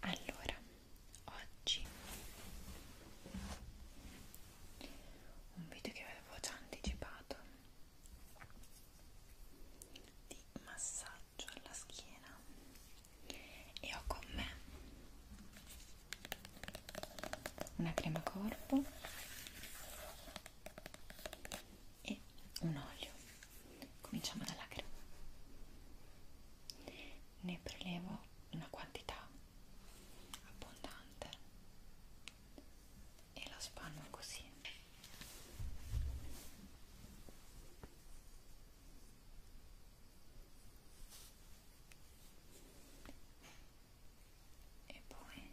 Allora, oggi un video che avevo già anticipato di massaggio alla schiena e ho con me una crema corpo e un olio cominciamo dalla crema ne prelevo una quantità abbondante e la spanno così e poi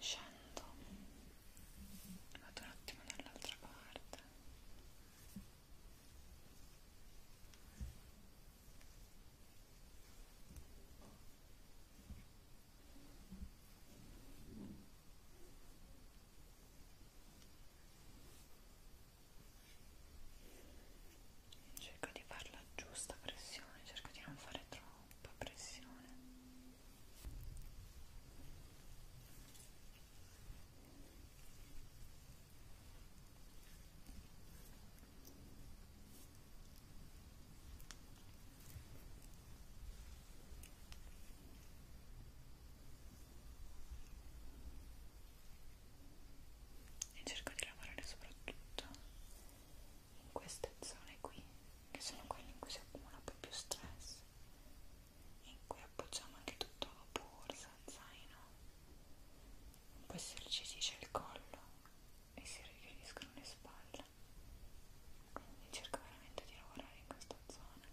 scendo vado un attimo dall'altra parte cerco di farla giusta pressione cerco di non fare troppo troppa pressione e cerco di lavorare soprattutto in queste zone qui che sono quelle in cui si accumula un po' più stress in cui appoggiamo anche tutto a vapore, zaino in poi si irrigidice il collo e si richiudiscono le spalle quindi cerco veramente di lavorare in questa zona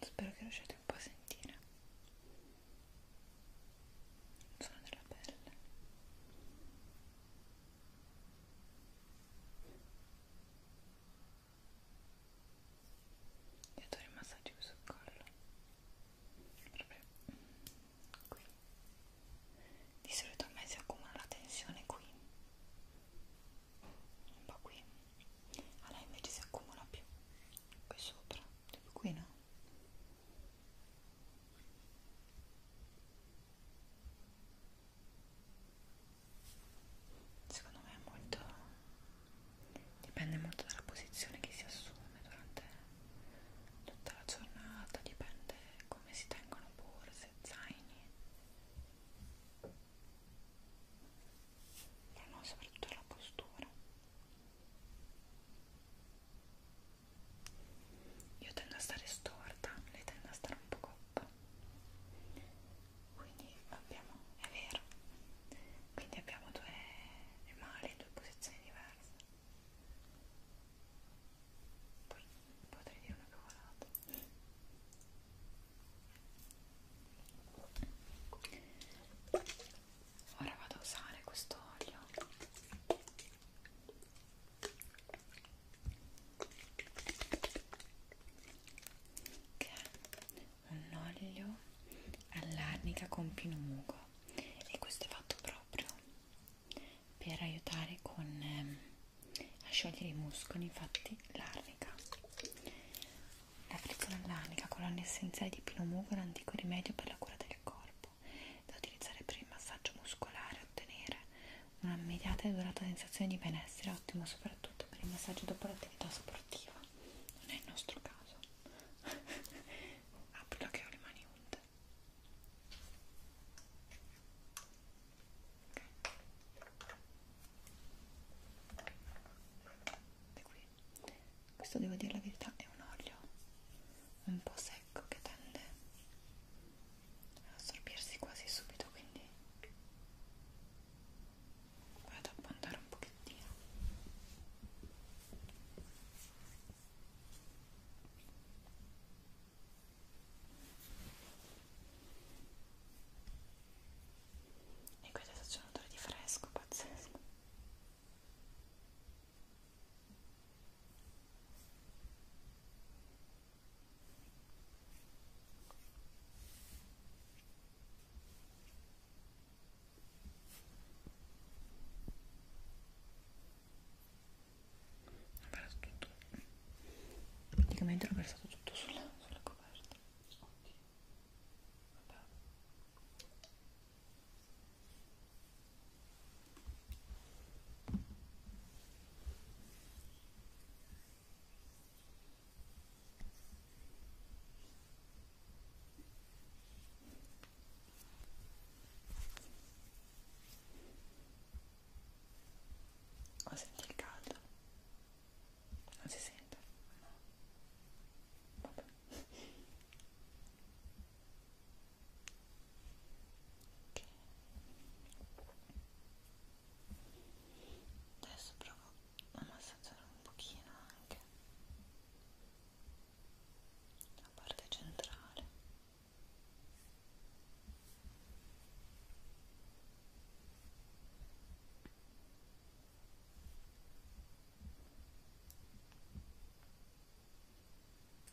Spero che riusciate un po' a sentire il suono della pelle. Io adoro i massaggi sul collo proprio qui di solito a me si accumula la tensione qui un po' qui a lei invece si accumula più qui sopra, tipo cioè, qui no secondo me è molto dipende molto dalla posizione che si assume durante tutta la giornata dipende come si tengono borse, zaini però no, soprattutto la postura io tendo a stare storta lei tende a stare un po' coppa quindi abbiamo, è vero quindi abbiamo due male, due posizioni diverse poi potrei dire una cavolata ora vado a usare questo olio che è un olio all'arnica con pinugo e questo è fatto proprio per aiutare con, ehm, a sciogliere i muscoli infatti l'arnica la frizzola all'arnica con l'olio essenziale di pinugo è un antico rimedio per la cura del corpo da utilizzare per il massaggio muscolare e ottenere un'immediata e durata sensazione di benessere, ottimo soprattutto per il massaggio dopo l'attività sportiva. Non è il nostro caso. Apro che ho le mani unte. Okay. Qui. Questo devo dire la verità è un olio un po' secco che tende assorbirsi quasi subito quindi vado a abbandonare un pochettino e qui adesso c'è un odore di fresco pazzesco ho perso tutto praticamente l'ho versato tutto sulla, sulla coperta ok vabbè Oh, senti il caldo? Non si sente? No. Vabbè. Adesso provo a massaggiare un pochino anche la parte centrale. Ok,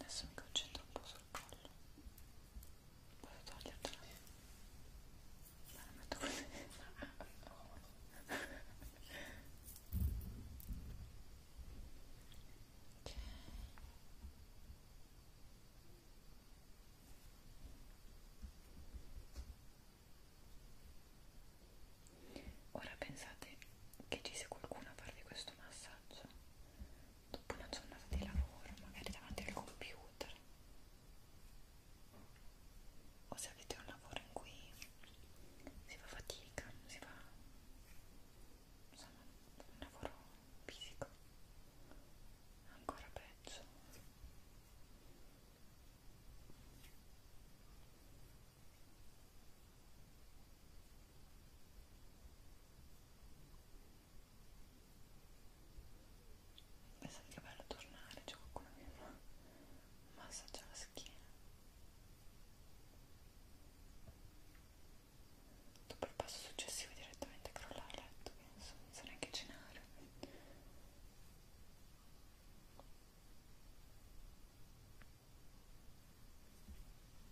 Adesso mi concentro un po' sul collo. Posso togliertela? La metto così. Ok. Ora pensate che ci sia qualcuno a farvi questo massaggio dopo una giornata di lavoro, magari davanti al computer o se avete un lavoro in cui si fa fatica, si fa insomma un lavoro fisico ancora peggio Pensate che bello tornare, c'è qualcuno che mi fa un massaggio alla schiena dopo il passo successivo direttamente crollare a letto, penso, senza neanche cenare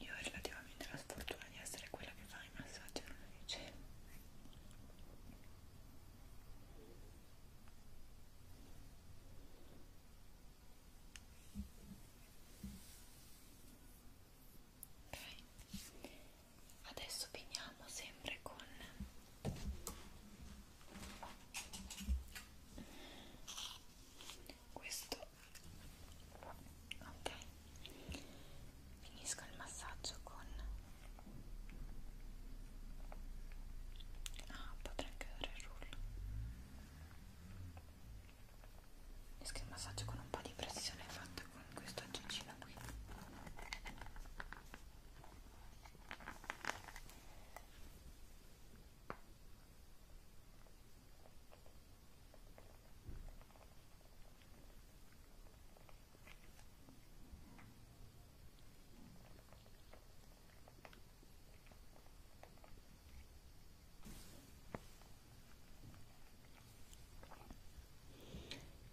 Io ho relativamente la sfortuna di essere quella che fa i massaggi alla luce ok adesso finiamo sempre con questo ok finisco il massaggio con Ah, potrei anche dare il rullo. Misco il massaggio con un po' di pressione fatta con questo aggeggino qui.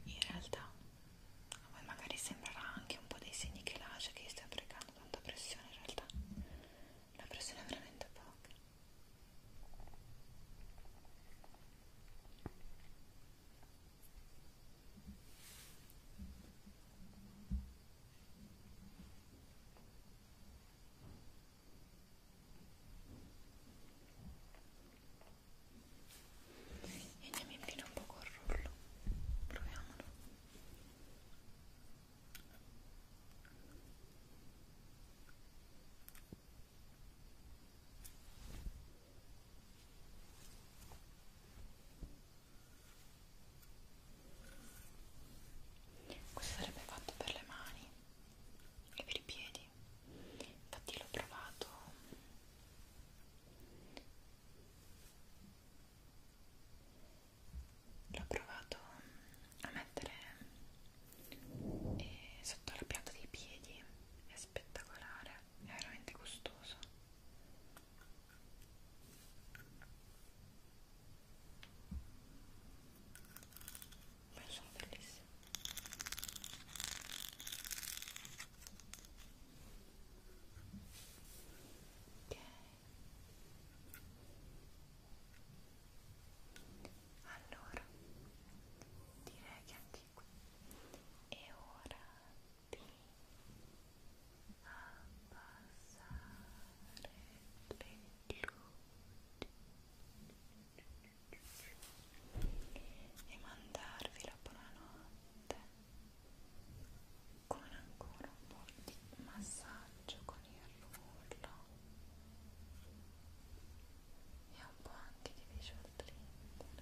In realtà a voi magari sembrerà anche un po' dei segni che lascia che stia applicando tanta pressione, in realtà la pressione è veramente poca e andiamo in pieno un po' col rullo proviamolo questo sarebbe fatto per le mani e per i piedi infatti l'ho provato l'ho provato a mettere eh, sotto la pianta dei piedi è spettacolare è veramente gustoso ma sono bellissime ok allora direi che anche qui è ora luci e mandarvi la buonanotte con ancora un po' di massaggio con il rullo e un po' anche di visual treatment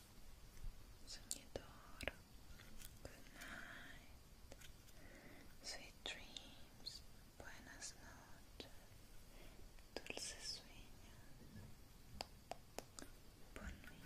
Sognador, good night, sweet dreams, buenas noches, dulces sueños, buon nuit,